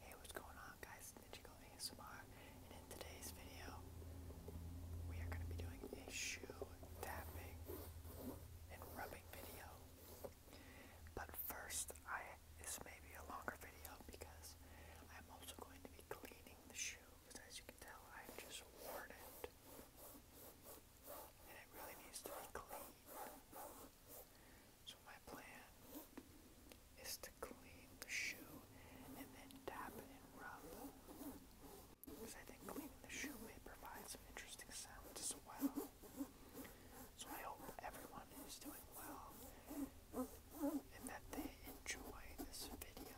Hey, what's going on guys? Ninjago ASMR and in today's video we are going to be doing a shoe tapping and rubbing video. But first, I this may be a longer video because I'm also going to be cleaning the shoe because as you can tell i am just worn it and it really needs to be cleaned. So my plan is to clean the shoe and then tap it and rub. Because I think cleaning the shoe may provide some interesting sounds as well. So I hope everyone is doing well and that they enjoy this video.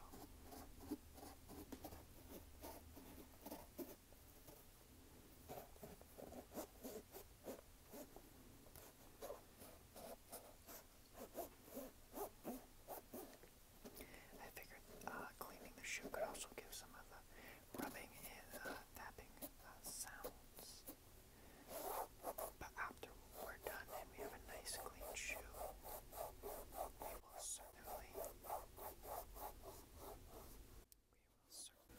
I figured uh, cleaning the shoe could also give some of the rubbing and tapping uh, uh, sounds. But after we're done we have a nice clean shoe, we will certainly. Serbia. Um, uh, I keep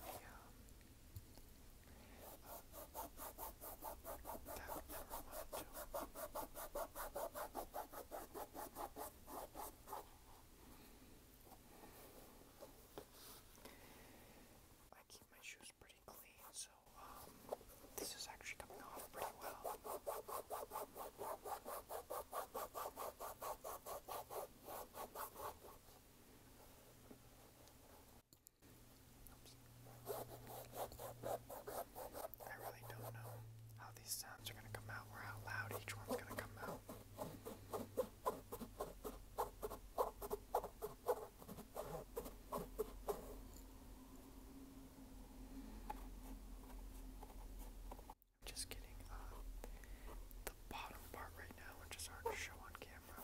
my shoes pretty clean, so um, this is actually coming off pretty well. I really don't know how these sounds are gonna come out or how loud each one's gonna come out. I'm just getting uh, the bottom part right now, which is hard to show on camera.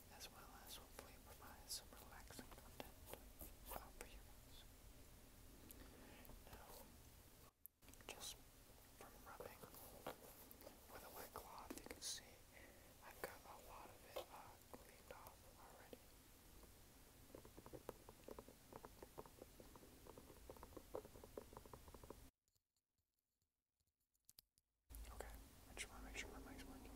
as well as hopefully provide some relaxing content for you Now, just from rubbing with a wet cloth, you can see I've got a lot of it uh, cleaned off already. Okay, I just want to make sure my mic's working.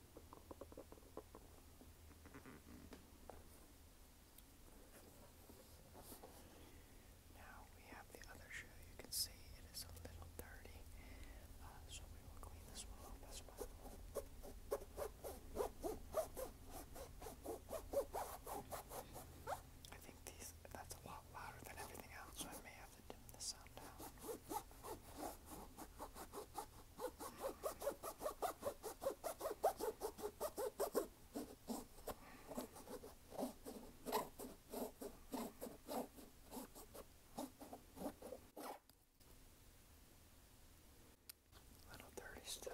Now we have the other shoe. You can see it is a little dirty, uh, so we will clean this one up as well. I think these, that's a lot louder than everything else, so I may have to dim the sound down. Little dirty still.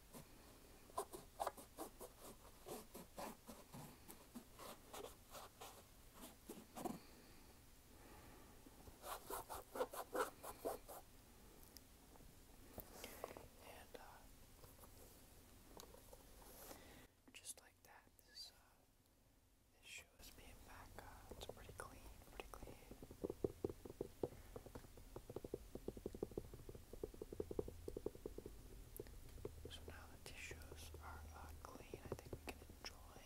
And uh, just like that, this, uh, this shoe is being back. it's pretty clean, pretty clean. So now the tissues are uh, clean, I think we can enjoy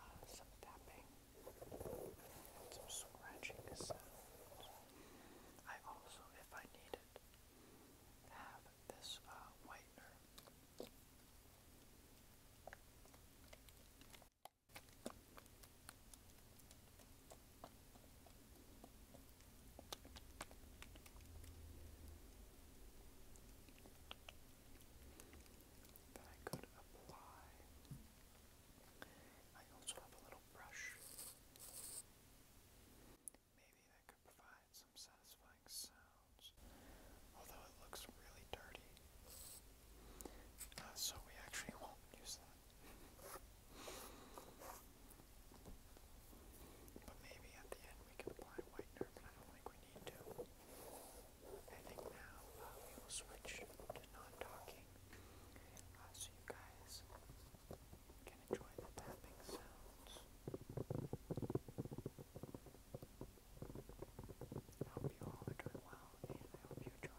uh, some tapping some scratching sounds. I also, if I need it, have this uh, whitener. I could apply. I also have a little brush. Maybe that could provide some satisfying sounds. Although it looks really dirty. Uh, so we actually won't use that. But maybe at the end we can apply whitener, but I don't think we need to. I think now uh, we will switch to non-talking, uh, so you guys can enjoy the tapping sounds. I hope you all are doing well, and I hope you enjoy.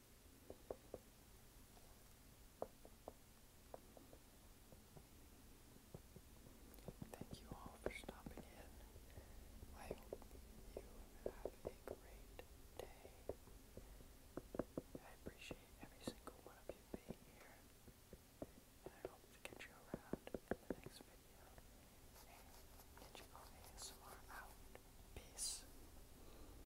Thank you all for stopping in. I hope you have a great day. I appreciate every single one of you being here. And I hope to get you around the next video. And get you all ASMR out. Peace.